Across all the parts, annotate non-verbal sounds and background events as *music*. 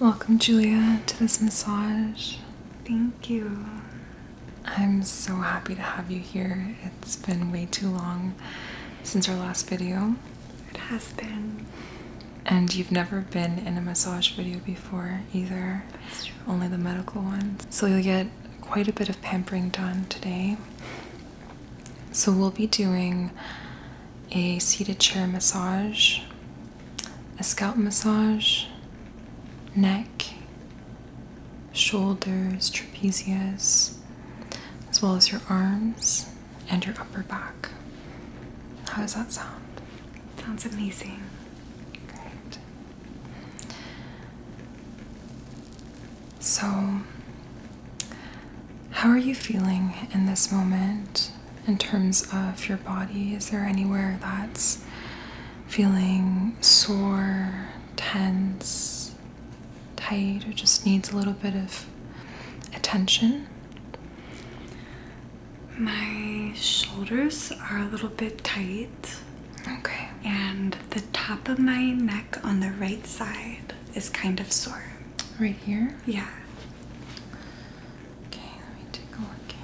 Welcome, Julia, to this massage. Thank you. I'm so happy to have you here. It's been way too long since our last video. It has been. And you've never been in a massage video before either. That's true. Only the medical ones. So you'll get quite a bit of pampering done today. So we'll be doing a seated chair massage, a scalp massage, neck, shoulders, trapezius, as well as your arms and your upper back. How does that sound? Sounds amazing. Great. So, how are you feeling in this moment in terms of your body? Is there anywhere that's feeling sore, tense, tight or just needs a little bit of attention. My shoulders are a little bit tight. Okay. And the top of my neck on the right side is kind of sore. Right here? Yeah. Okay, let me take a look here.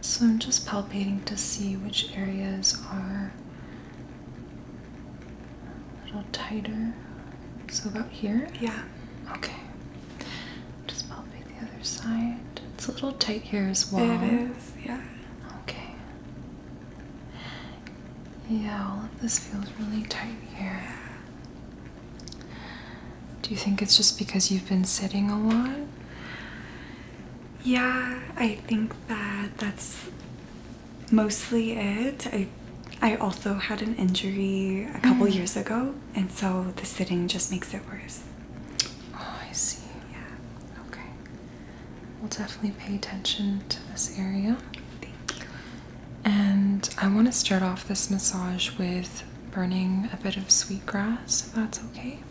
So I'm just palpating to see which areas are a little tighter. So about here? Yeah. Okay. Just palpate the other side. It's a little tight here as well. It is, yeah. Okay. Yeah, all of this feels really tight here. Do you think it's just because you've been sitting a lot? Yeah, I think that that's mostly it. I I also had an injury a couple mm. years ago, and so the sitting just makes it worse. Oh, I see. Yeah. Okay. We'll definitely pay attention to this area. Thank you. And I want to start off this massage with burning a bit of sweet grass, that's okay.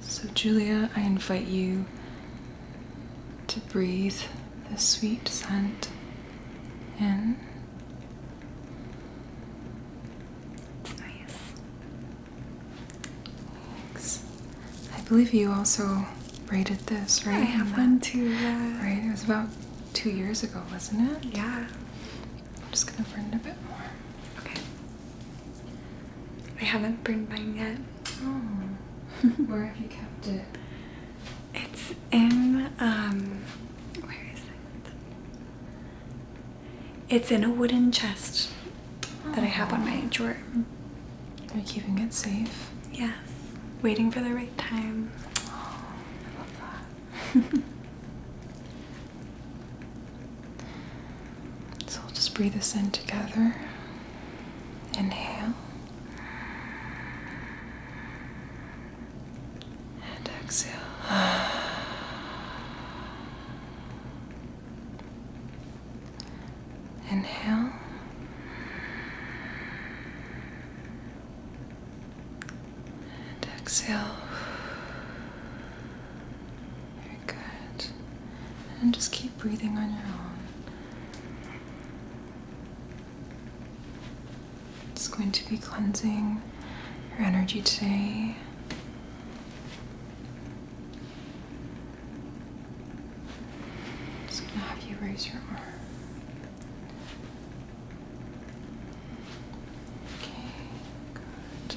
So, Julia, I invite you to breathe the sweet scent in. It's nice. Thanks. I believe you also rated this, right? I have one too. Right? It was about two years ago, wasn't it? Yeah. I'm just gonna burn it a bit more. Okay. I haven't burned mine yet. Oh. Where have you kept it? *laughs* It's in um where is it? It's in a wooden chest that I have on my oh. drawer. Are you keeping it safe? Yes. Waiting for the right time. Oh, I love that. *laughs* So we'll just breathe this in together. Inhale. And exhale. Inhale. And exhale. Very good. And just keep breathing on your own. It's going to be cleansing your energy today. I'm just going to have you raise your arm. Okay, good.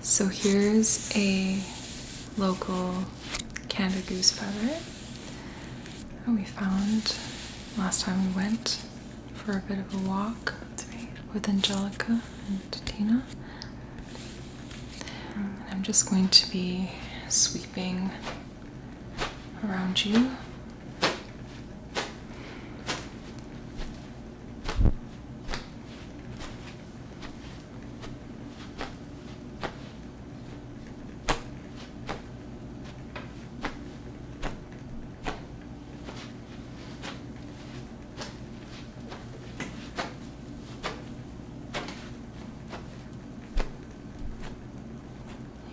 So here's a local Canada goose feather that we found last time we went for a bit of a walk with Angelica and Tatina. I'm just going to be sweeping around you.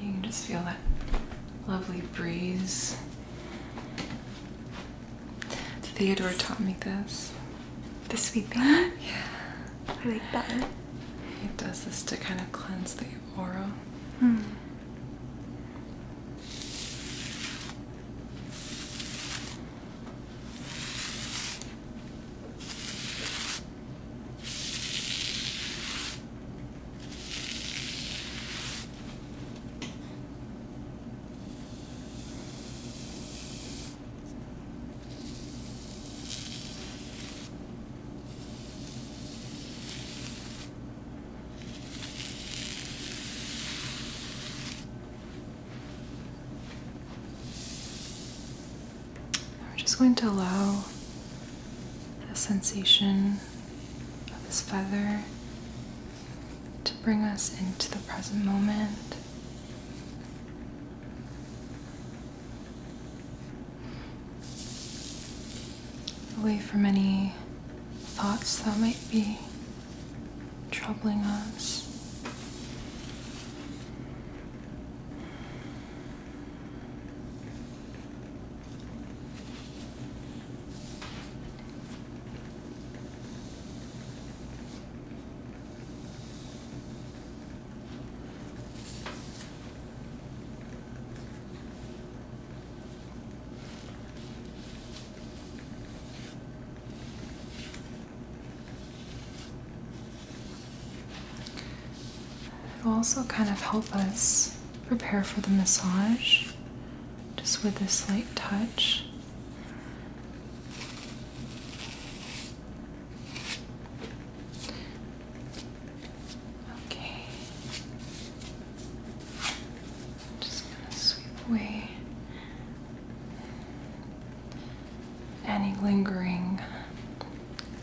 You can just feel that lovely breeze Theodore taught me this. The sweeping? *gasps* yeah. I like that. He does this to kind of cleanse the aura. Hmm. We're just going to allow the sensation of this feather to bring us into the present moment. Away from any thoughts that might be troubling us. It'll also kind of help us prepare for the massage just with this slight touch. Okay. just going to sweep away any lingering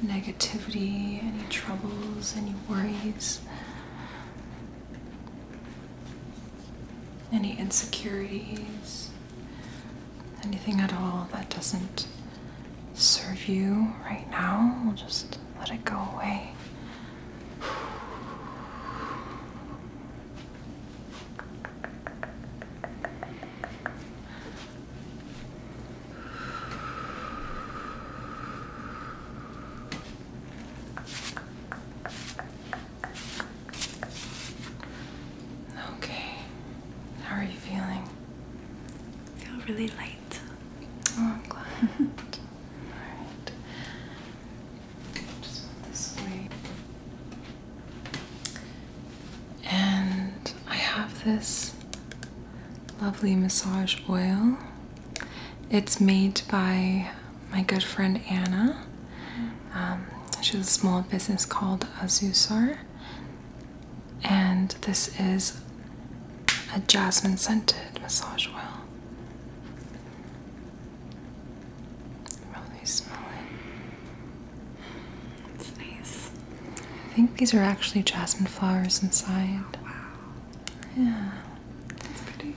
negativity, any troubles, any worries, any insecurities. Anything at all that doesn't serve you right now, we'll just let it go away. Okay. How are you feeling? I feel really light. Oh, I'm glad. *laughs* Alright. Just this way. And I have this lovely massage oil. It's made by my good friend Anna. Um, she has a small business called Azusar, and this is a jasmine scented massage oil. Really smell it. It's nice. I think these are actually jasmine flowers inside. Oh, wow. Yeah. That's pretty.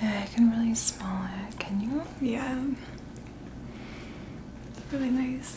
Yeah, I can really smell it. Can you? Yeah. really nice.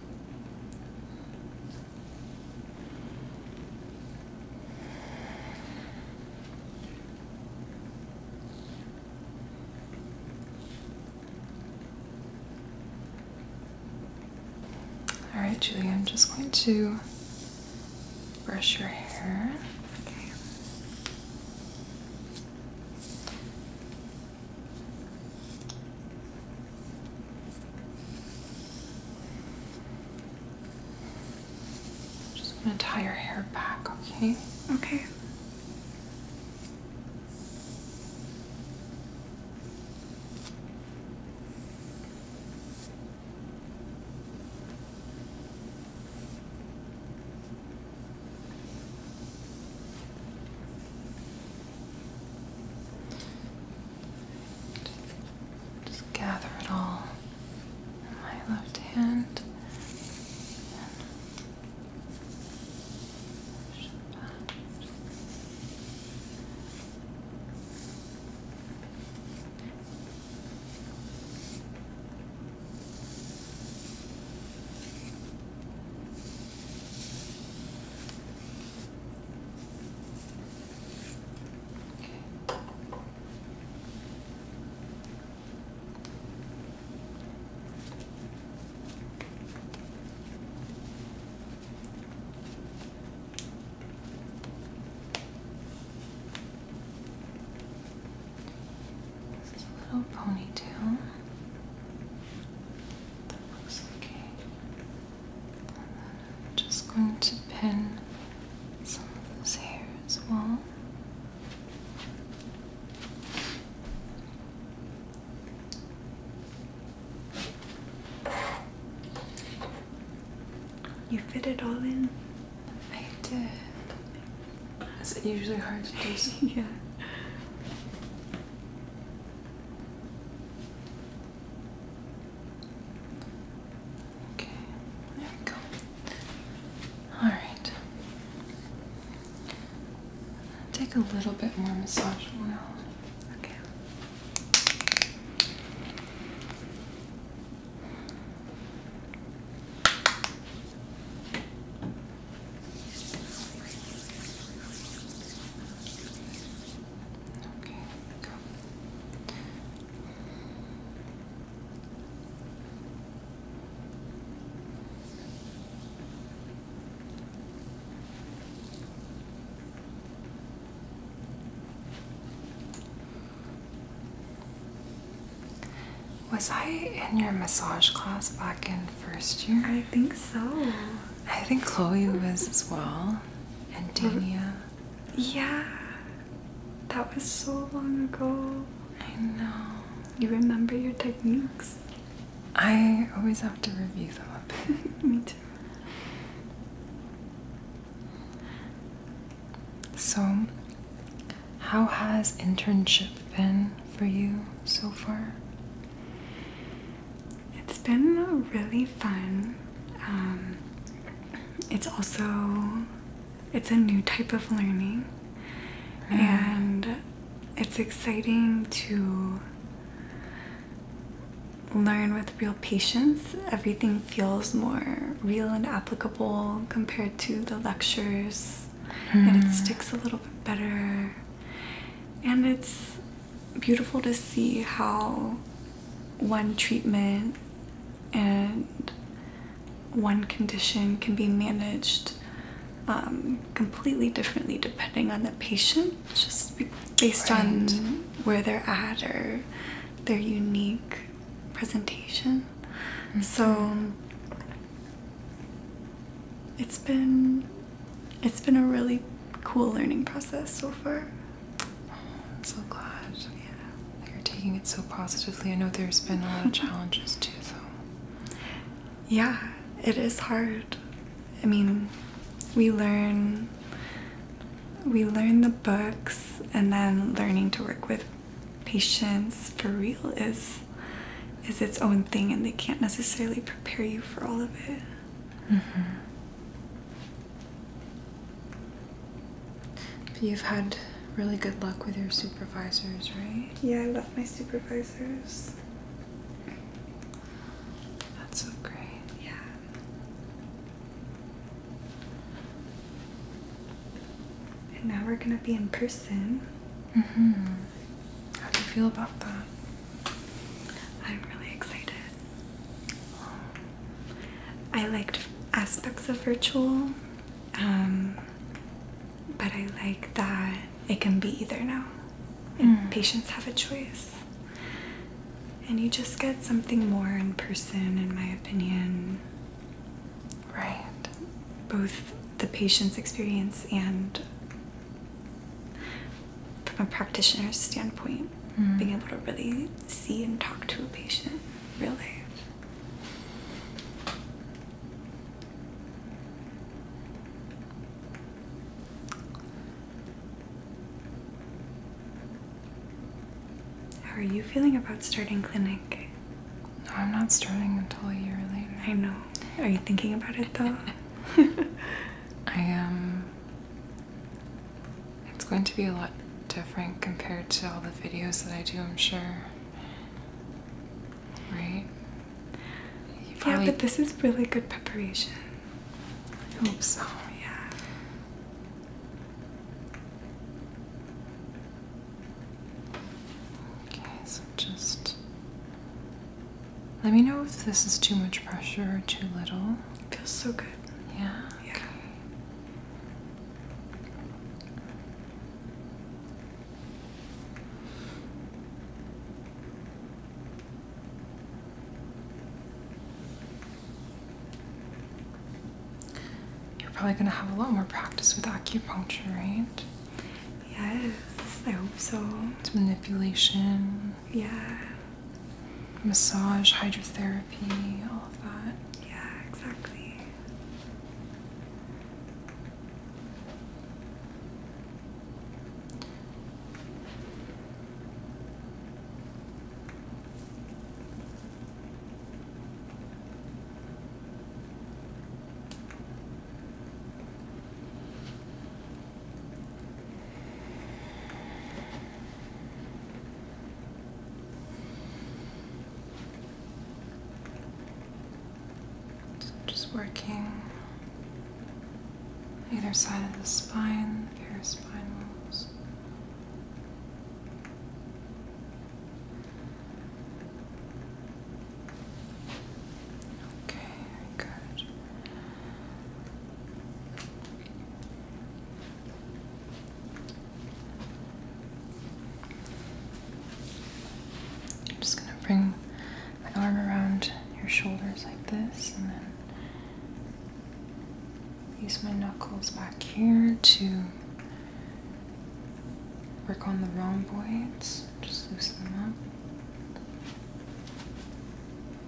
All right, Julie, I'm just going to brush your hair. Okay. I'm Just gonna tie your hair back, okay? Okay. Just gather it all in my left hand this is a little ponytail. That looks okay. I'm just going to pin some of this hair as well. You fit it all in? I did. Is it usually hard to do? *laughs* yeah. Okay, there we go. All right. Take a little bit more massage oil. Okay. Was I in your massage class back in first year? I think so. I think Chloe was as well, and Dania. Yeah, that was so long ago. I know. You remember your techniques? I always have to review them *laughs* Me too. So, how has internship been for you so far? It's been really fun. Um, it's also it's a new type of learning mm-hmm. and it's exciting to learn with real patience. Everything feels more real and applicable compared to the lectures mm. and it mm-hmm. sticks a little bit better. And it's beautiful to see how one treatment and one condition can be managed um, completely differently depending on the patient, just based on where they're at or their unique presentation. So mm-hmm. it's been it's been a really cool learning process so far. I'm so glad. Yeah. You're taking it so positively. I know there's been a lot of challenges too, though. Yeah, it is hard. I mean, we learn we learn the books and then learning to work with patients for real is is its own thing and they can't necessarily prepare you for all of it. Mm-hmm. you've had really good luck with your supervisors, right? Yeah, I love my supervisors. That's so great. Yeah. And now we're gonna be in person. Mm-hmm. How do you feel about that? I'm really excited. I liked aspects of virtual, um, but I like that it can be either now. Mm. patients have a choice. And you just get something more in person, in my opinion. Right. Both the patient's experience and from a practitioner's standpoint, mm-hmm. being able to really see and talk to a patient, really. How are you feeling about starting clinic? No, I'm not starting until a year later. I know. Are you thinking about it though? *laughs* I am. It's going to be a lot different compared to all the videos that I do, I'm sure. Right? Yeah, but this is really good preparation. I hope so. Yeah. Okay, so just let me know if this is too much pressure or too little. feels so good. Yeah? Yeah. Okay. You're probably going to have a lot more practice with acupuncture, right? Yes, I hope so. It's manipulation. Yeah massage, hydrotherapy, all of that. Yeah, exactly. Just working either side of the spine, the paraspinals. Okay, very good. I'm just going to bring my arm around your shoulders like this, and then use my knuckles back here to work on the rhomboids, just loosen them up.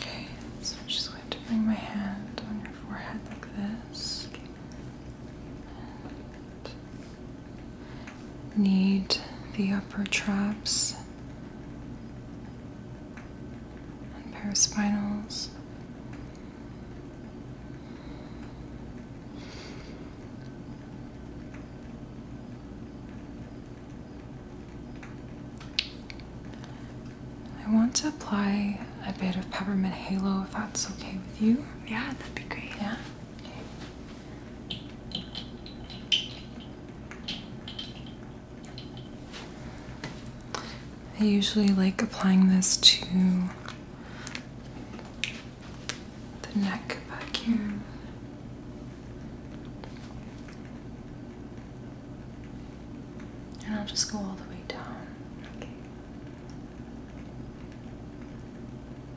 Okay, so I'm just going to bring my hand on your forehead like this need the upper traps and paraspinals. I want to apply a bit of peppermint halo if that's okay with you. Yeah, that'd be great. Yeah. I usually like applying this to the neck back here. And I'll just go all the way down.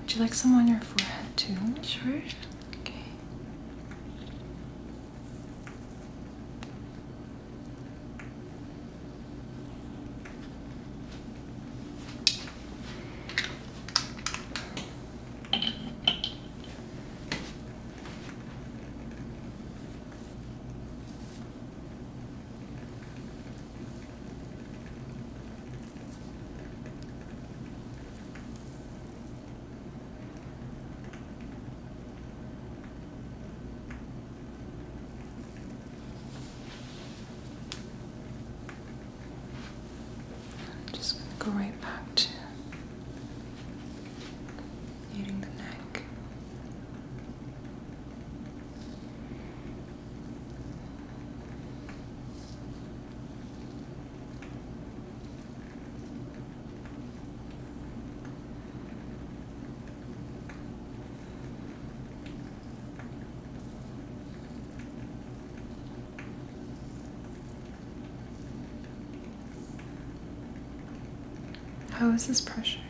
Would you like some on your forehead too? Sure. Okay. I'm just going to go right back to kneading the neck. How is this pressure?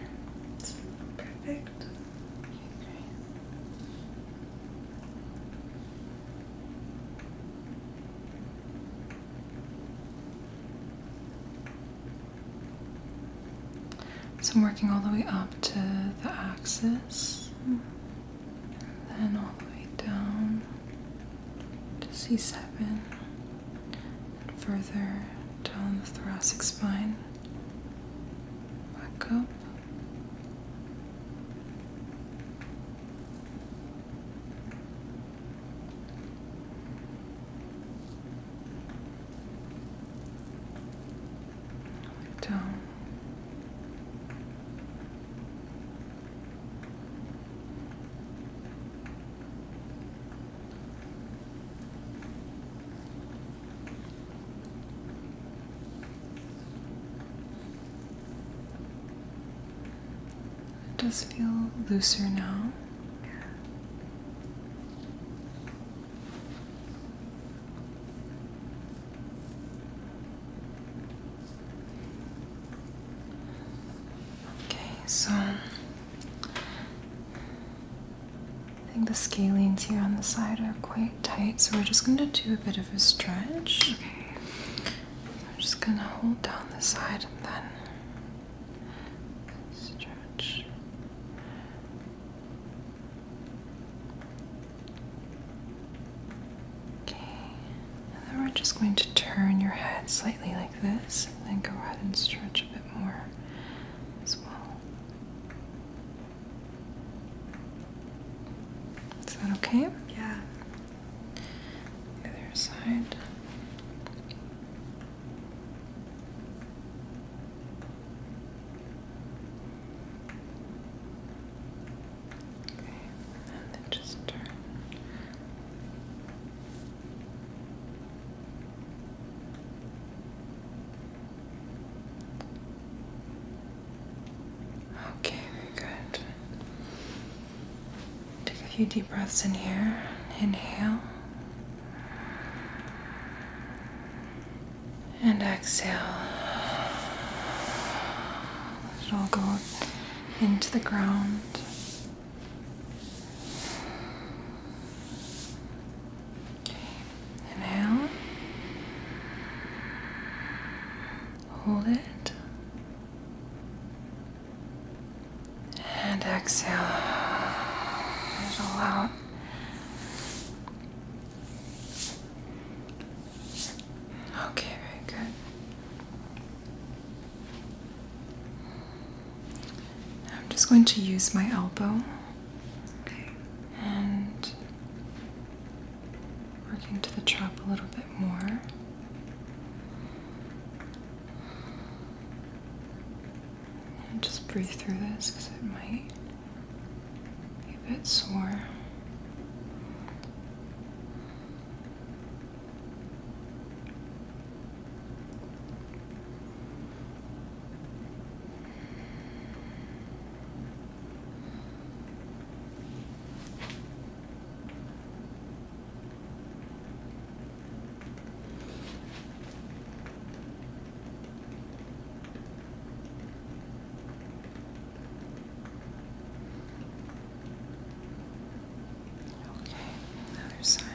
perfect. So I'm working all the way up to the axis and then all the way down to C7 and further down the thoracic spine back up. Down. It does feel looser now. Okay, so I think the scalenes here on the side are quite tight, so we're just going to do a bit of a stretch. Okay. I'm just going to hold down the side and then stretch. Okay. then we're just going to turn your head slightly like this, and then go ahead and stretch a bit more as well. Is that okay? Yeah. other side. Okay, and then just turn. Okay, very good. Take a few deep breaths in here. Inhale. And exhale. Let it all go into the ground. And now hold it and exhale all out. Okay, very good. I'm just going to use my elbow and working to the trap a little bit more. just breathe through this because it might be a bit sore. Okay, other side.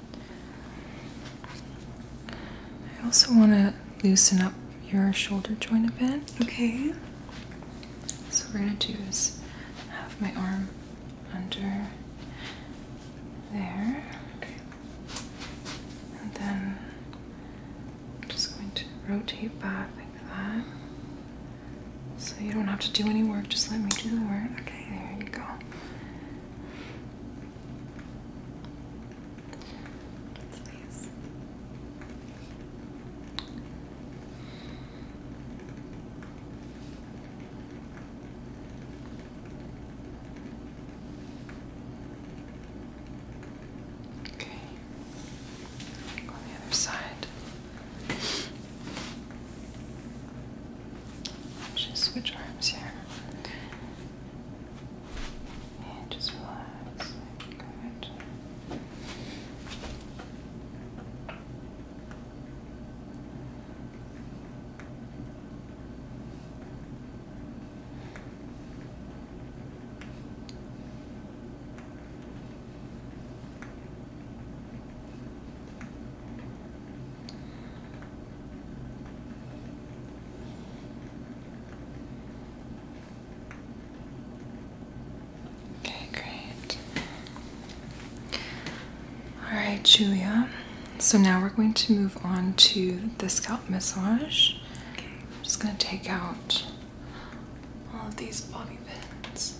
I also want to loosen up your shoulder joint a bit. Okay. So we're going to do is have my arm under there. And then I'm just going to rotate back like that. So you don't have to do any work, just let me do the work. Okay, there you go. That's nice. Okay. On the other side. I'll just switch arms here. And just relax. Good. Okay, great. All right, Julia. So now we're going to move on to the scalp massage. I'm just going to take out all of these bobby pins.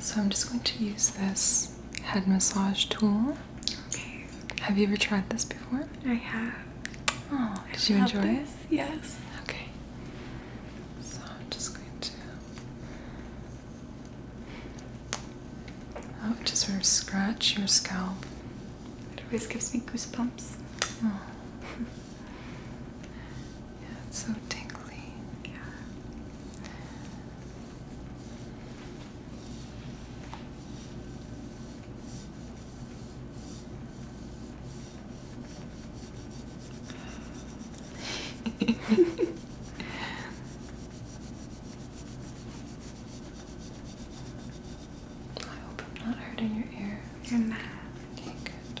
So I'm just going to use this head massage tool have you ever tried this before? I have. Oh, did you enjoy it? Yes. Okay. So I'm just going to. Oh, just sort of scratch your scalp. It always gives me goosebumps. Oh. *laughs* yeah, it's so tingly. Yeah. I hope I'm not hurting your ear. You're not. Okay, good.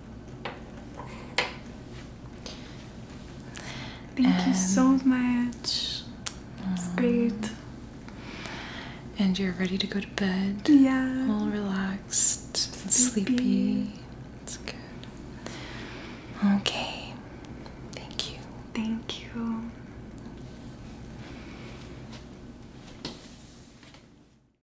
Thank you so much. It's great. And you're ready to go to bed. Yeah. All relaxed sleepy. and sleepy. good. Okay. Thank you. Thank you.